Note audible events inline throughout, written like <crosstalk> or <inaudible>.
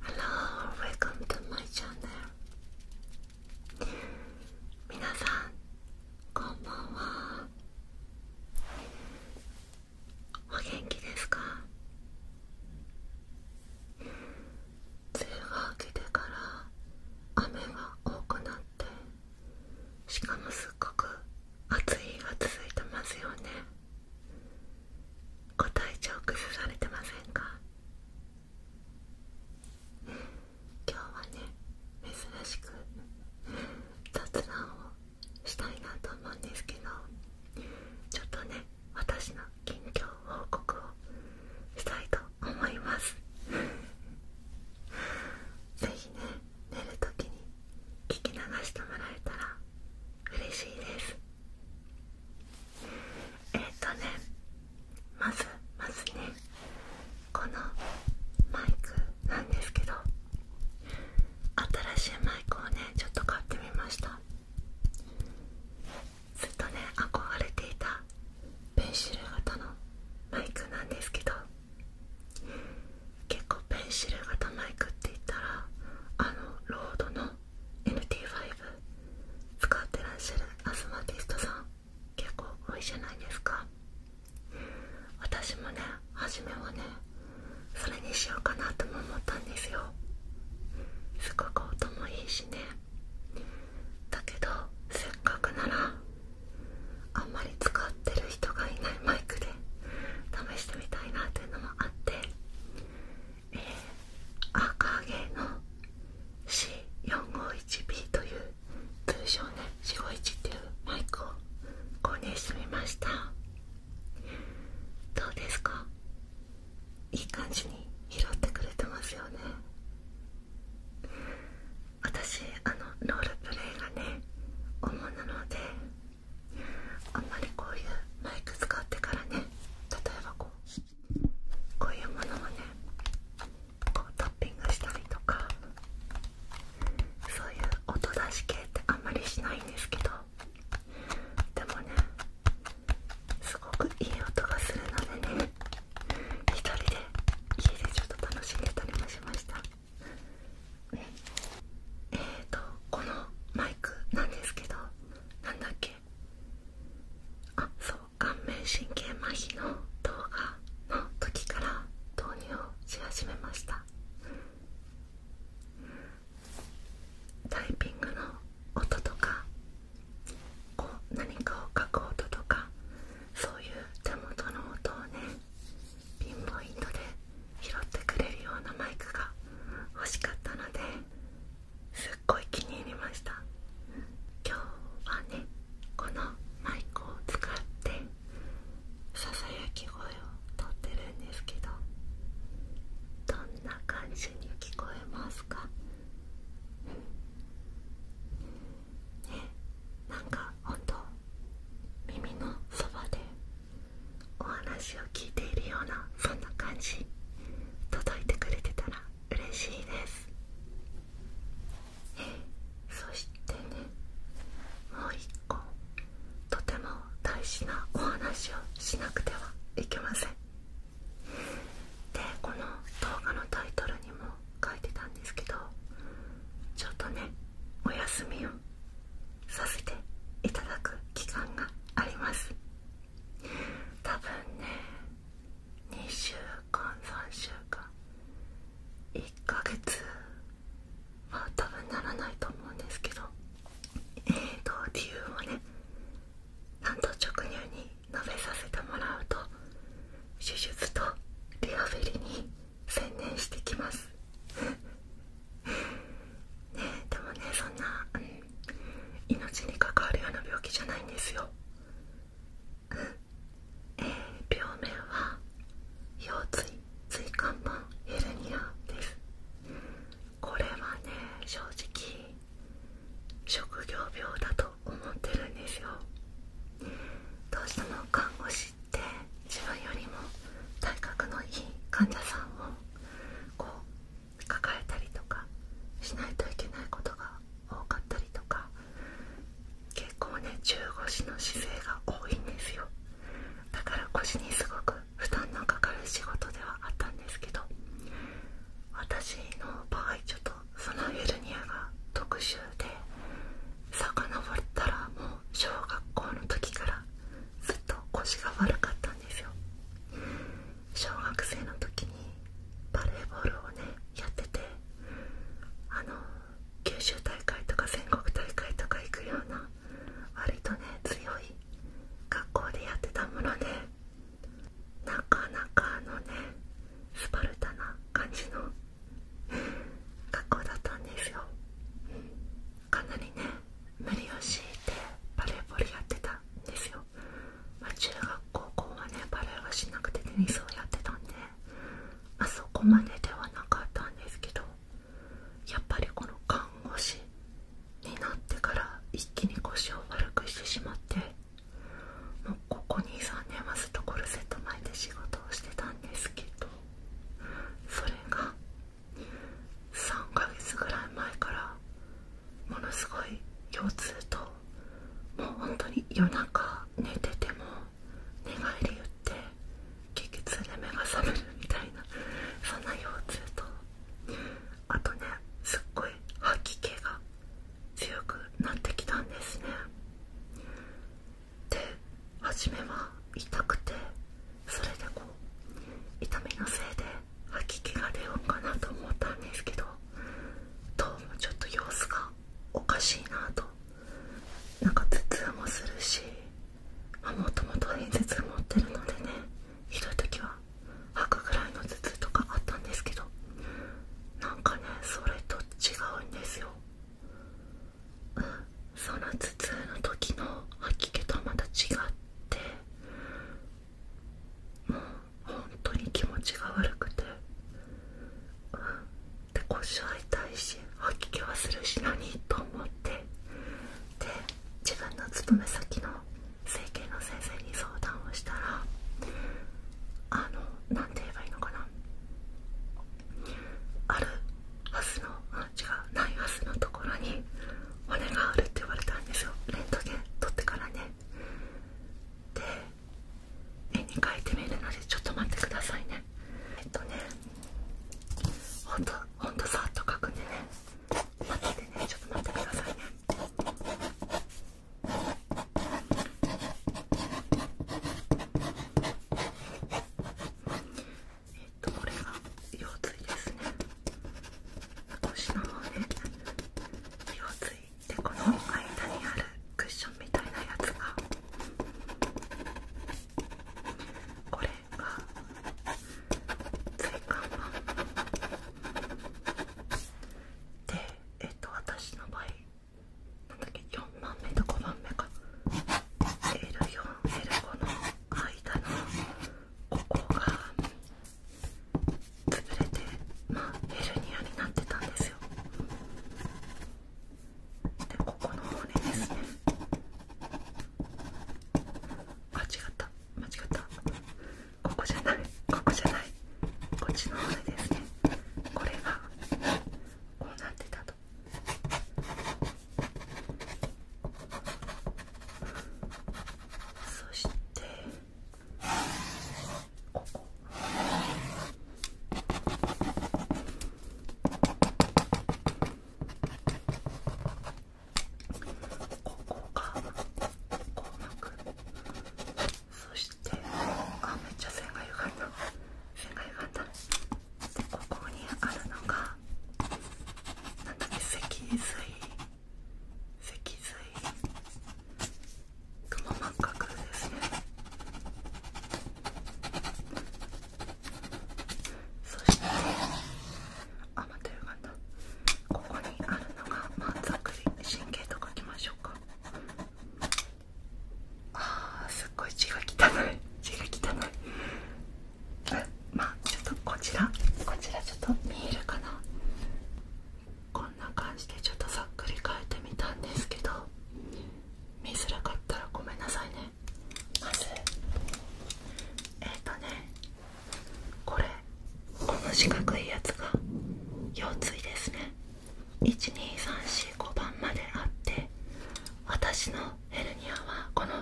Hello, welcome to my channel. 皆さん、こんばんは。お元気ですか梅雨が明けてから雨が多くなってしかもすっごく暑い日が続いてますよねご体調崩されてませんか今日はね珍しく雑談をしたいなと思うんですけどちょっとね私の近況報告をしたいと思います是非ね寝る時に聞き流してもらえたら嬉しいですえっ、とねまずまずねこのマイクなんですけど新しいマイクをねちょっと買ってみましたずっとね憧れていたペンシル型のマイクなんですけど結構ペンシル型マイクって言ったらあのロードの n t 5使ってらっしゃるアスマティストさん結構多いじゃないですか私もね初めはねそれにしようかなとも思ったんですよすごく音もいいしねだけどせっかくならあんまり使ってる人がいないマイクで試してみたいなっていうのもあってえー、赤毛の C451B という通称ね451っていうマイクを購入してみましたどうですかいい感じに拾ってくれてますよね私あのロールプレイがね主なのであんまりこういうマイク使ってからね例えばこうこういうものをねこうタッピングしたりとかそういう音出し系ってあんまりしないんですけどでもねすごくいい音がするのでね1人で家でちょっと楽しんでたりもしましたえっ、とこのマイクなんですけどなんだっけあそう顔面神経麻痺の動画の時から導入をし始めましたタイピングの音とかこう何かを書く音とかそういう手元の音をねピンポイントで拾ってくれるようなマイクが欲しかったのですっごい気に入りました今日はねこのマイクを使ってささやき声をとってるんですけどどんな感じに聞こえますかねなんかほんと耳のそばでお話を聞いているようなそんな感じ届いてくれてたら嬉しいですえそしてねもう一個とても大事なお話をしなくてはいけませんでこの動画のタイトルにも書いてたんですけどちょっとねお休みをさせていただく期間があります多分ね2週間3週間1ヶ月は多分ならないと思うんですけどえっと理由をねなんと直入に述べさせてもらうと手術とリハビリに専念してきますねでもねそんな、命に関わるような病気じゃないんですよ、え病名は腰椎椎間板ヘルニアですこれはね正直職業病だと思ってるんですよどうしても看で自分よりも体格のいい患者さんを抱えたりとかしないといけないことが多かったりとか結構ね中腰の姿勢が多いんですよだから腰にすごく負担のかかる仕事ではあったんですけど私の場合ちょっとそのヘルニアが特殊で遡ったらもう小学校の時からずっと腰が悪かったんですよ小学生の時にバレーボールをねやっててあの九州大会とか全国大会とか行くような割とね強い学校でやってたものでなかなかのねスパルタな感じの学校だったんですよかなりね無理を強いてバレーボールやってたんですよ、ま中学高校はねバレーはしなくてテニスをやってたんで、まあそこまでではなかったんですけどやっぱりこの看護師になってから一気に腰を悪くしてしまってもうここ23年はずっとコルセット巻いて仕事をしてたんですけどそれが3ヶ月ぐらい前からものすごい腰痛ともう本当に夜中寝てても寝返り打って激痛で目が覚めるみたいなそんな腰痛とあとねすっごい吐き気が強くなってきたんですねで初めは痛くてそれでこう痛みのせいで吐き気が出ようかなと思ったんですけどどうもちょっと様子がおかしいなとなんか頭痛もするしもともと偏頭痛持ってるのでねひどい時は吐くぐらいの頭痛とかあったんですけどなんかねそれと違うんですよその頭痛の時の吐き気とまた違ってもう本当に気持ちが悪くてで腰は痛いし吐き気はするし何と思ってで自分の勤め先の整形の先生に相談をしたらあの何て言えばいいのかなあるはずの違うないはずのところに骨があるって言われたんですよレントゲン取ってからねで絵に描いてみるのでちょっと待ってくださいねえっとねほんとほんとさっと描くんでね待っててねちょっと待ってくださいねえっとこれが腰椎ですね腰の方ね腰椎でこの間にあるクッションみたいなやつがこれが椎間板でえっと私の場合4番目と5番目か L4L5 の間のここが潰れてまあヘルニアになってたんですよでここの骨ですね間違った間違ったここじゃないここじゃないこっちの骨ですねこれがこうなってたと。そしてここここがこうまくそしてあめっちゃ線が歪んだ線が歪んだでここにあるのがなんだっけ脊髄脊髄くも膜角ですねそしてあまた歪んだここにあるのが満足神経とかきましょうかああすっごい血が汚い血が汚いまあちょっとこちらこちらちょっと見えるかなこんな感じでちょっとざっくり変えてみたんですけど見づらかったらごめんなさいねまずえっ、とねこれこの四角いやつが腰椎ですね12345番まであって私のヘルニアはこの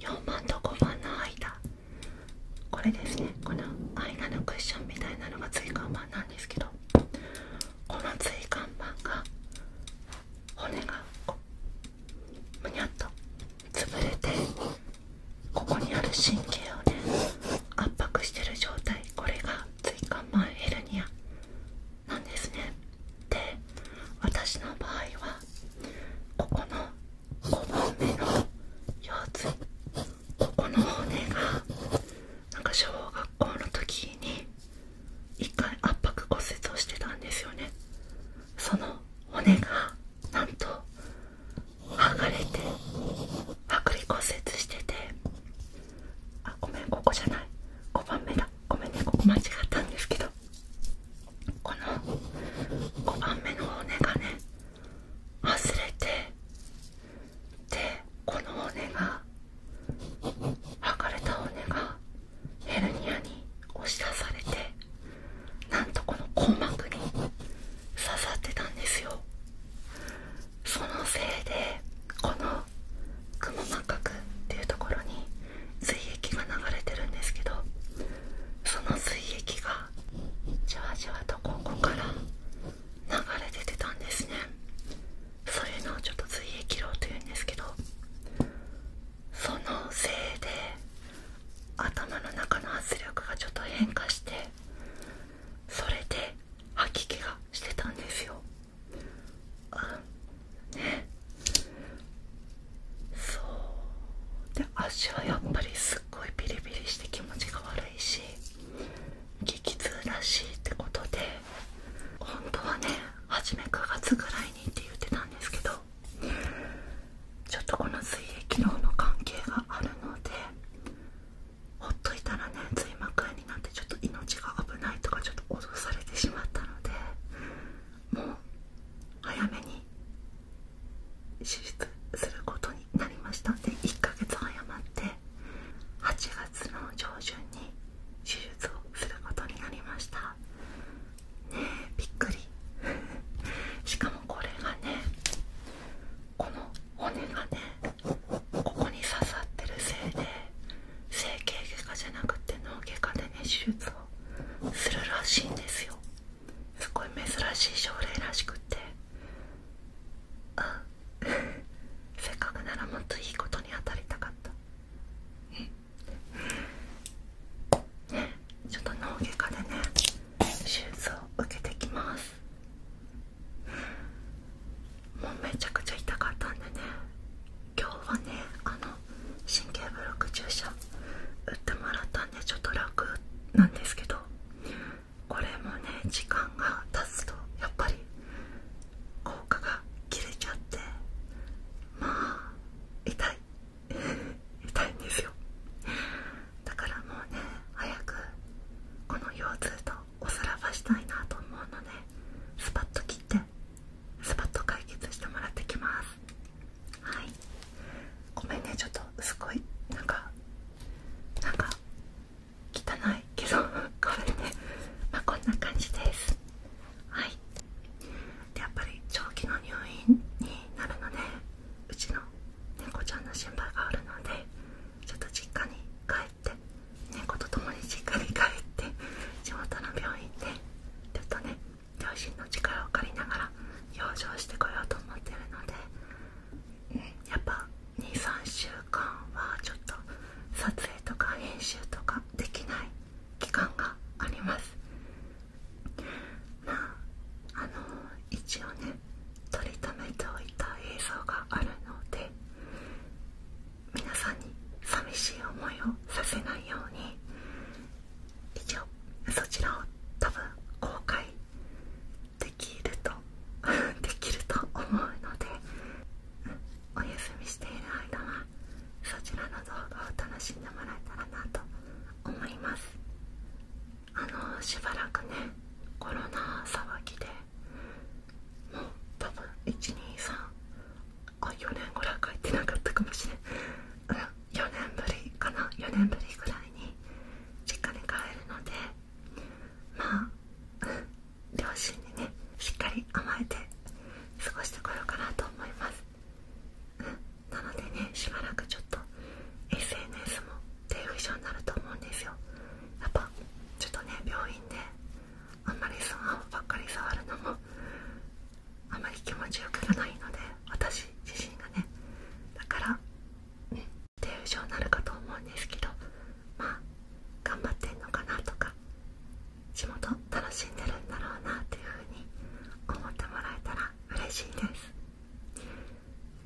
4番と5番の間これですねこの間のクッションみたいなのが椎間板なんですけどこの椎間板が骨がこうむにゃっと潰れてここにある神経をね圧迫してる状態これが椎間板ヘルニアなんですねで私の場合はここの5本目の腰椎ここの骨がなんか小学校の時に1回圧迫骨折をしてたんですよねその骨がなんと剥がれて剥離骨折しててごめんここじゃない5番目だごめんねここ間違ったんですけどこの5番目の骨がね外れてでこの骨が剥がれた骨がヘルニアに押し出されてなんとこの硬膜に刺さってたんですよそのせいでこのくも膜核っていうところに髄液が流れてるんですけどその髄液がじわじわとここから流れててたんですねそういうのをちょっと髄液量というんですけどそのせいで頭の中の圧力がちょっと変化してそれで吐き気がしてたんですよあねそうで足はやっぱりすっごいビリビリして気持ちが悪いし激痛らしいってことで本当はね初め9月ぐらいにって言ってたんですけどちょっとこの水液量の関係があるのでほっといたらね髄膜炎になってちょっと命が危ないとかちょっと脅されてしまったのでもう早めに手術することになりましたんで1ヶ月早まって8月の上旬に手術をすることになりましたねえびっくり <laughs> しかもこれがねこの骨がねここに刺さってるせいで整形外科じゃなくて脳外科でね手術をするらしいんですよすごい珍しい症例らしくってあ <laughs> せっかくならもっといいことに当たりたかったねちょっと脳外科でね手術を受けてきますも <laughs> うめちゃくちゃ痛かったんでね今日はねあの神経ブロック注射打ってもらったんでちょっと楽なんですけどこれもね時間が経つとやっぱり効果が切れちゃってまあ痛い <laughs> 痛いんですよだからもうね早くこの腰痛とおさらばしたいなと思うのでスパッと切ってスパッと解決してもらってきますはいごめんねちょっとすごいなんかなか汚いけど <laughs> ごめんねまあこんな感じですはいでやっぱり長期の入院になるので、ねうちの猫ちゃんの心配があるのでちょっと実家に帰って猫と共に実家に帰って地元の病院でちょっとね両親の力を借りながら養生してこようと思ってるので、やっぱ23週間はちょっと撮影とか編集とかできない期間がありますまああの一応ね撮りためておいた映像があるので皆さんに寂しい思いをさせないように一応そちらを多分公開できると <laughs> できると思うので、お休みしている間はそちらの動画を楽しんでもらえたらなと思いますあのしばらくねコロナ騒ぎでもう多分123あ4年ぐらい帰ってなかったかもしれんうん4年ぶりかな4年ぶりぐらいに実家に帰るのでまあ、両親にねしっかり甘えて過ごしてこようかなと思いますなのでねしばらくちょっと SNS も低不症になると思うんですよやっぱちょっとね病院であんまりスマホばっかり触るのもあまり気持ちよくないので私自身がねだからね。手不症になるかと思うんですけどまあ頑張ってんのかなとか地元楽しんでるんだろうなっていうふうに思ってもらえたら嬉しいです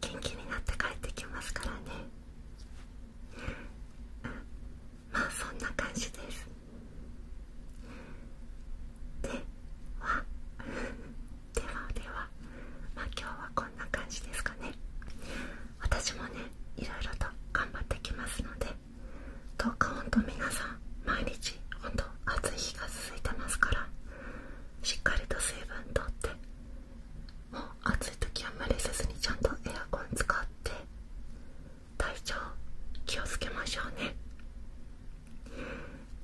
元気になって帰ってきますからねまあそんな感じです <laughs> ではではではまあ今日はこんな感じですかね私もねいろいろと頑張ってきますのでどうかほんと皆さん毎日ほんと暑い日が続いてますからしっかりと水分とってもう暑い時は無理せずにちゃんとエアコン使って体調気をつけましょうね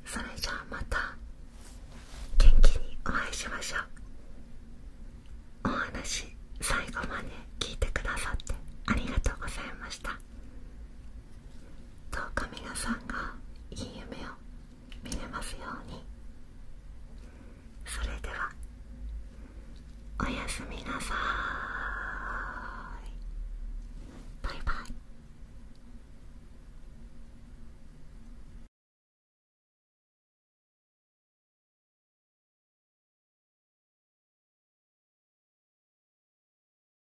それじゃあまた元気にお会いしましょうお話最後まで聞いてくださってありがとうございましたどうか皆さんがいい夢を見れますようにそれではおやすみなさーいバイバイ